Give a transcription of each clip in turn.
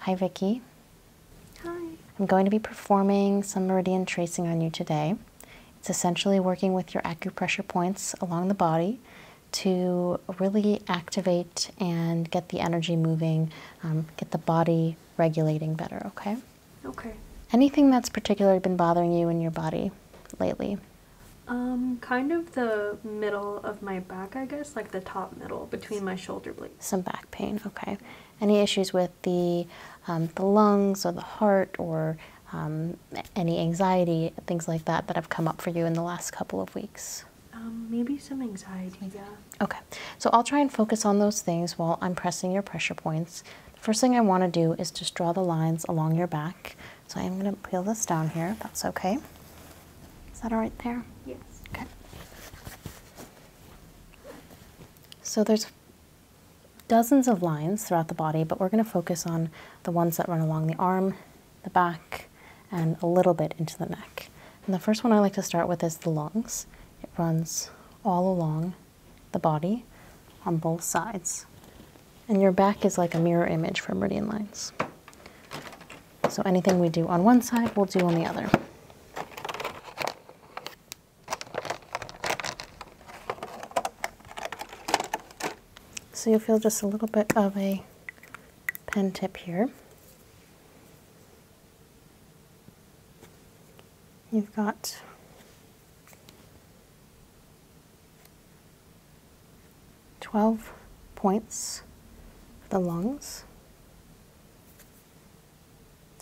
Hi, Vicki. Hi. I'm going to be performing some meridian tracing on you today. It's essentially working with your acupressure points along the body to really activate and get the energy moving, um, get the body regulating better, okay? Okay. Anything that's particularly been bothering you in your body lately? Um, kind of the middle of my back, I guess, like the top middle between my shoulder blades. Some back pain, okay. Any issues with the, um, the lungs or the heart or um, any anxiety, things like that, that have come up for you in the last couple of weeks? maybe some anxiety, yeah. Okay, so I'll try and focus on those things while I'm pressing your pressure points. The first thing I want to do is just draw the lines along your back. So I am going to peel this down here, if that's okay. Is that all right there? Yes. Okay. So there's dozens of lines throughout the body, but we're going to focus on the ones that run along the arm, the back, and a little bit into the neck. And the first one I like to start with is the lungs. It runs all along the body on both sides. And your back is like a mirror image for meridian lines. So anything we do on one side, we'll do on the other. So you'll feel just a little bit of a pen tip here. You've got 12 points for the lungs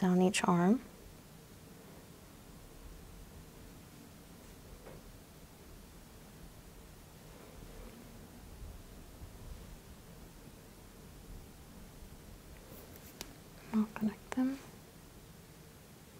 down each arm. I'll connect them.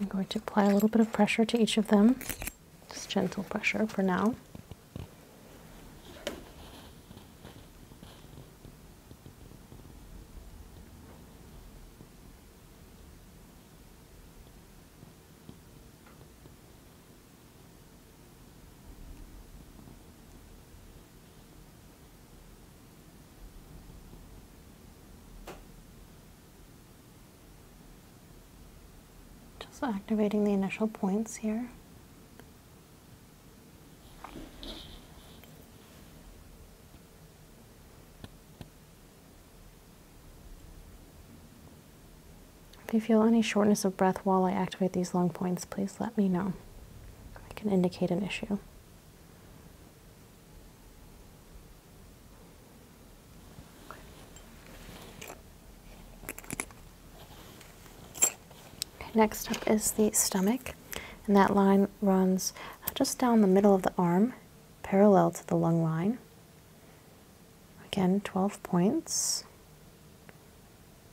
I'm going to apply a little bit of pressure to each of them, just gentle pressure for now. Just activating the initial points here. If you feel any shortness of breath while I activate these lung points, please let me know. I can indicate an issue. next up is the stomach, and that line runs just down the middle of the arm, parallel to the lung line. Again, 12 points.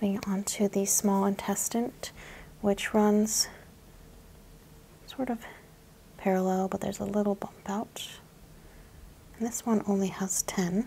Moving on to the small intestine, which runs sort of parallel, but there's a little bump out. this one only has 10.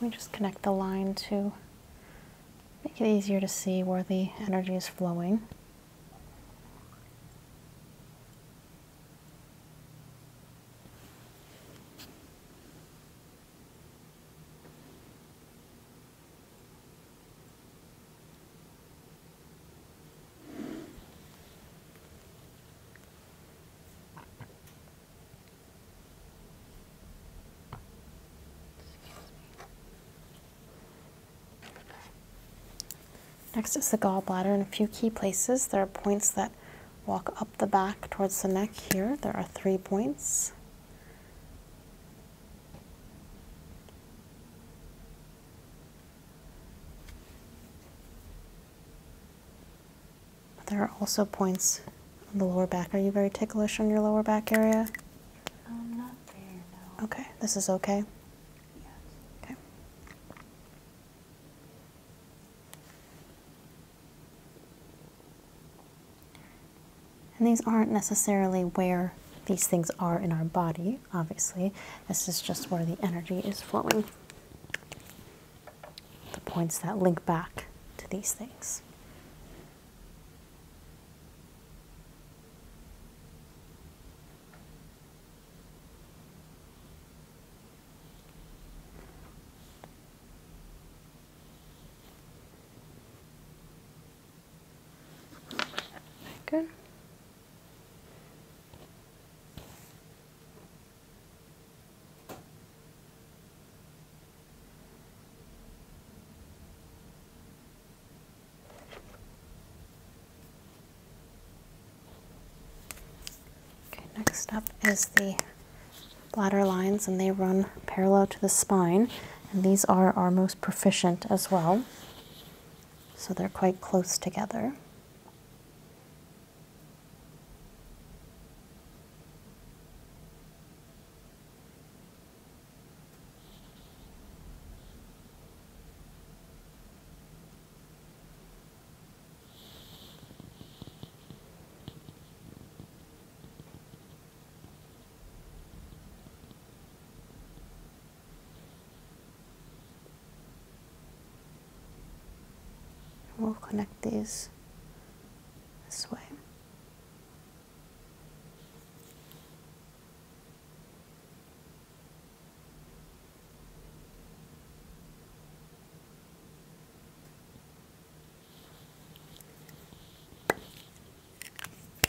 We just connect the line to make it easier to see where the energy is flowing. Next is the gallbladder in a few key places. There are points that walk up the back towards the neck here. There are three points. There are also points on the lower back. Are you very ticklish on your lower back area? Um, not there, Okay, this is okay? Yes. Okay. And these aren't necessarily where these things are in our body obviously. This is just where the energy is flowing. The points that link back to these things. good. Okay, next up is the bladder lines, and they run parallel to the spine, and these are our most proficient as well so they're quite close together. We'll connect these this way.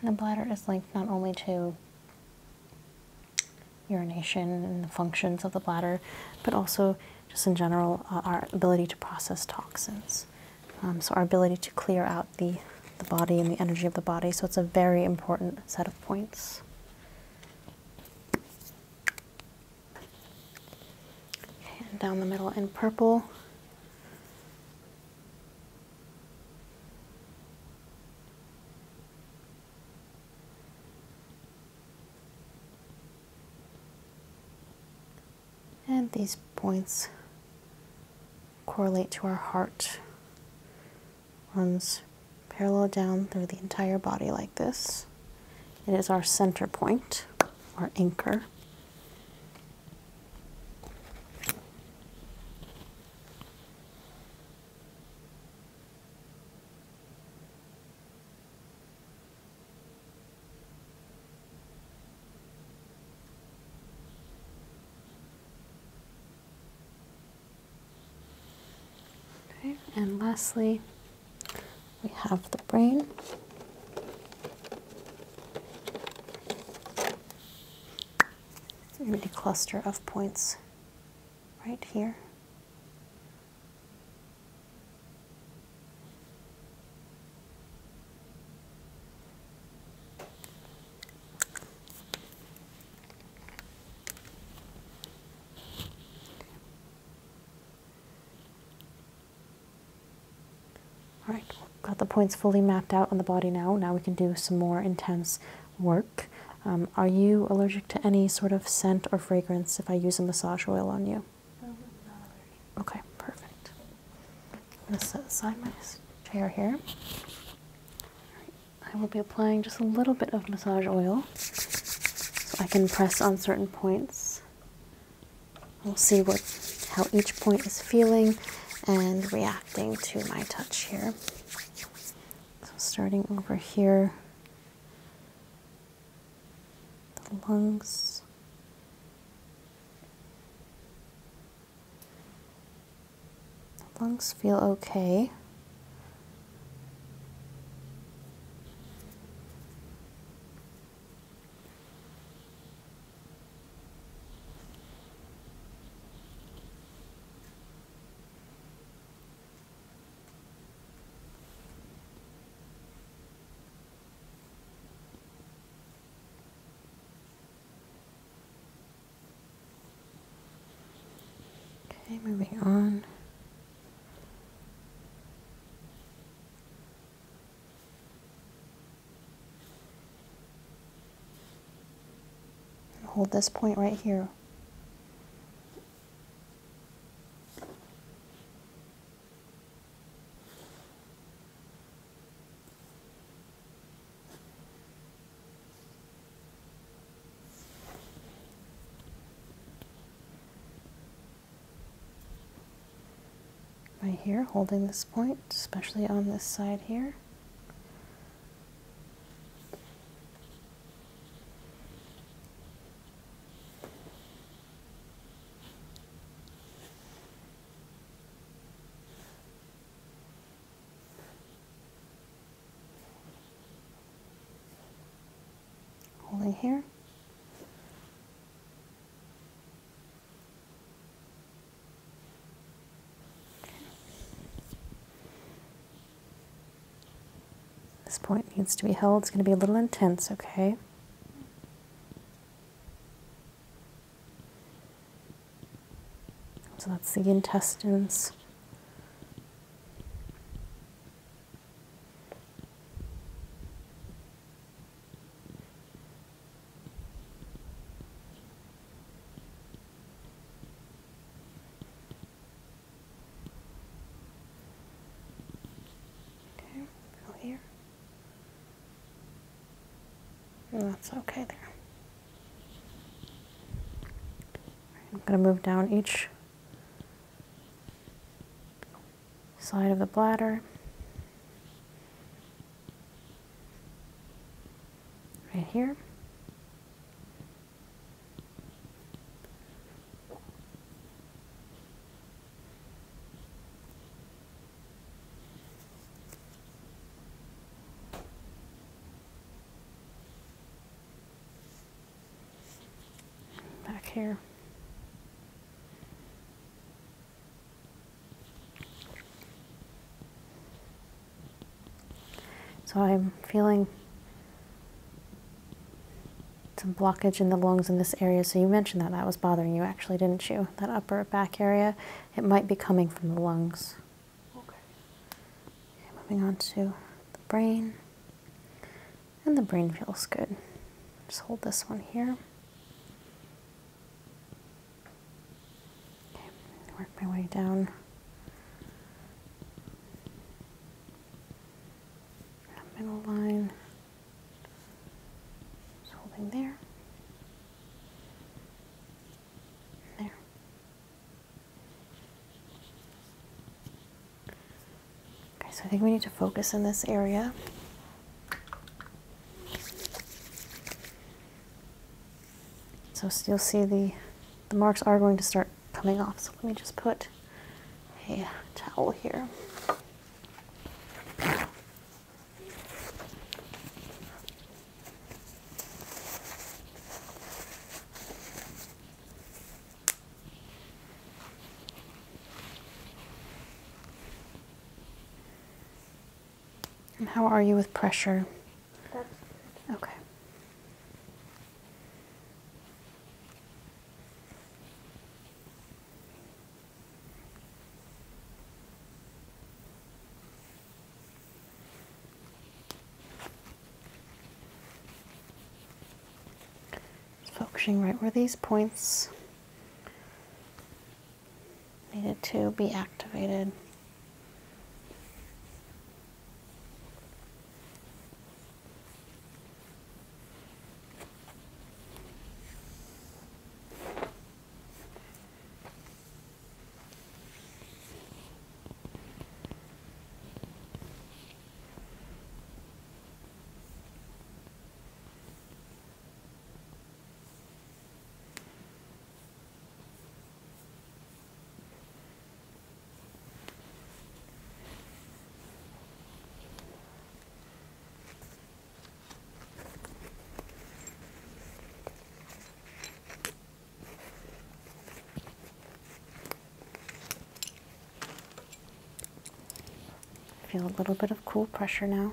And the bladder is linked not only to urination and the functions of the bladder, but also just in general uh, our ability to process toxins. Um, so our ability to clear out the, the body and the energy of the body. So it's a very important set of points and down the middle in purple. And these points correlate to our heart. Runs parallel down through the entire body like this. It is our center point, our anchor and lastly, we have the brain empty cluster of points right here. All got the points fully mapped out on the body now. Now we can do some more intense work. Um, are you allergic to any sort of scent or fragrance if I use a massage oil on you? okay, perfect. I'm going to set aside my chair here. I will be applying just a little bit of massage oil so I can press on certain points We'll see what how each point is feeling and reacting to my touch here. So starting over here, the lungs. The lungs feel okay. Okay, moving on. Hold this point right here right here holding this point especially on this side here holding here this point needs to be held. It's going to be a little intense, okay? So that's the intestines. Okay, fill here. And that's okay there. I'm going to move down each side of the bladder right here. Back here. So I'm feeling some blockage in the lungs in this area. So you mentioned that that was bothering you actually, didn't you? That upper back area, it might be coming from the lungs. Okay. moving on to the brain. And the brain feels good. Just hold this one here. Okay, work my way down. That middle line is holding there. There. Okay, so I think we need to focus in this area. So you'll see the, the marks are going to start coming off. So let me just put a towel here. And how are you with pressure? Okay. focusing right where these points needed to be activated. Feel a little bit of cool pressure now.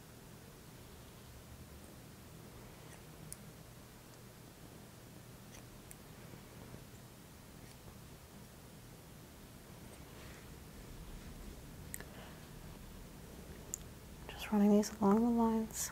Just running these along the lines.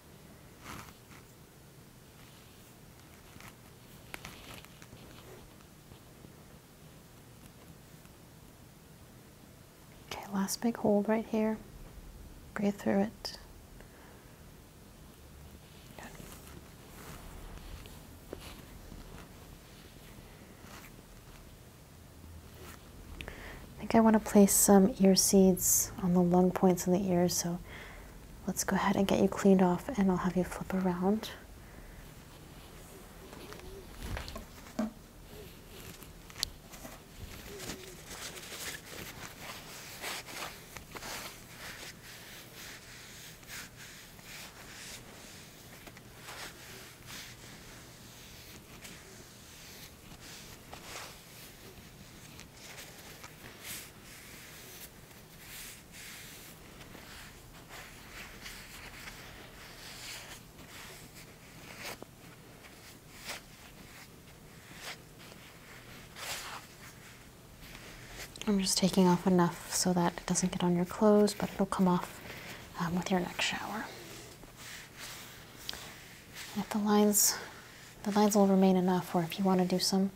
Okay, last big hold right here. Breathe through it. I think I want to place some ear seeds on the lung points in the ears, so Let's go ahead and get you cleaned off and I'll have you flip around. I'm just taking off enough so that it doesn't get on your clothes, but it'll come off um, with your next shower. If the lines, the lines will remain enough, or if you want to do some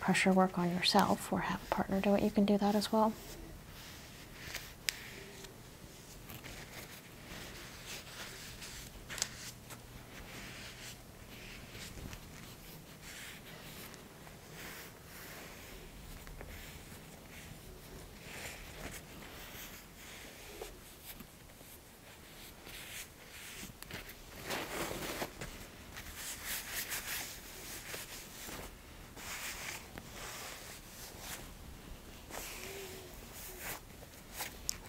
pressure work on yourself or have a partner do it, you can do that as well.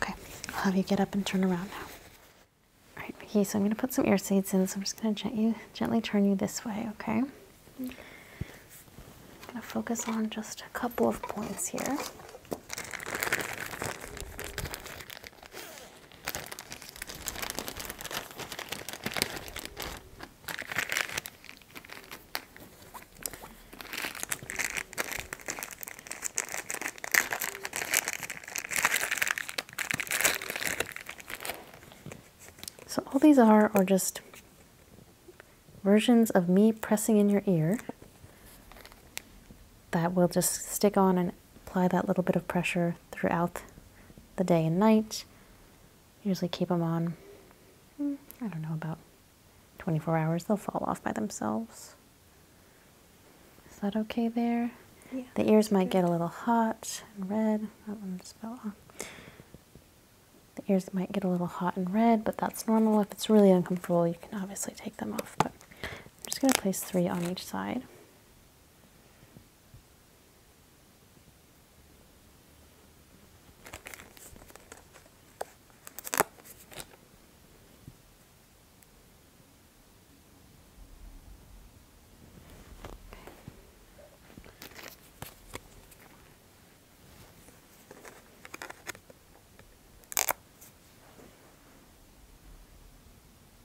Okay, I'll have you get up and turn around now. All right, Vicky, so I'm going to put some ear seeds in, so I'm just going to gently, gently turn you this way, okay? I'm going to focus on just a couple of points here. So all these are are just versions of me pressing in your ear that will just stick on and apply that little bit of pressure throughout the day and night. Usually keep them on, hmm, I don't know, about 24 hours. They'll fall off by themselves. Is that okay there? Yeah, the ears might get a little hot and red. That one just fell off. The ears might get a little hot and red, but that's normal. If it's really uncomfortable, you can obviously take them off. But I'm just going to place three on each side.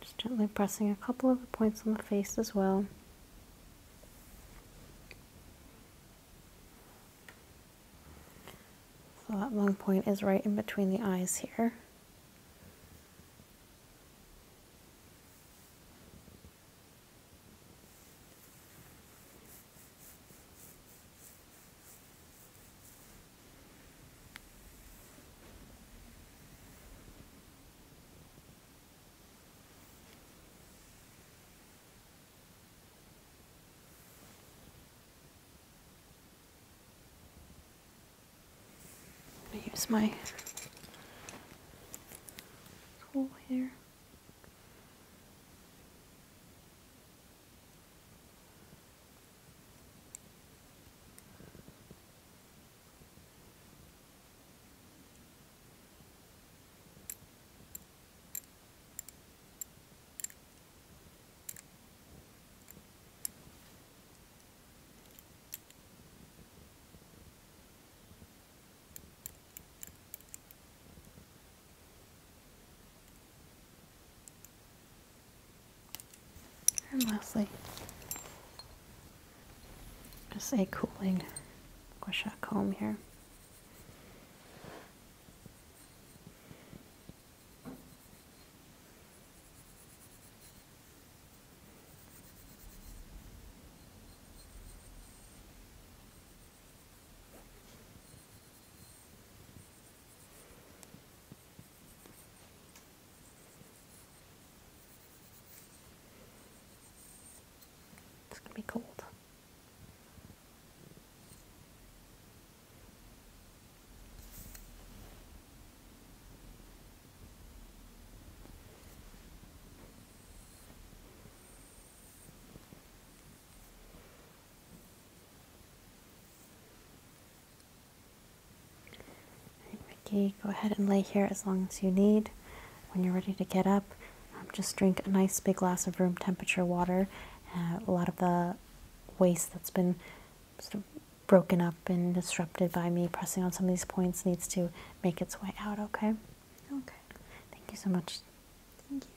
Just gently pressing a couple of the points on the face as well. So that long point is right in between the eyes here. I'm use my tool here. And lastly, just a cooling Guasha comb here. It's gonna be cold. Right, Mickey, go ahead and lay here as long as you need. When you're ready to get up, um, just drink a nice big glass of room temperature water. Uh, a lot of the waste that's been broken up and disrupted by me pressing on some of these points needs to make its way out, okay? Okay. Thank you so much. Thank you.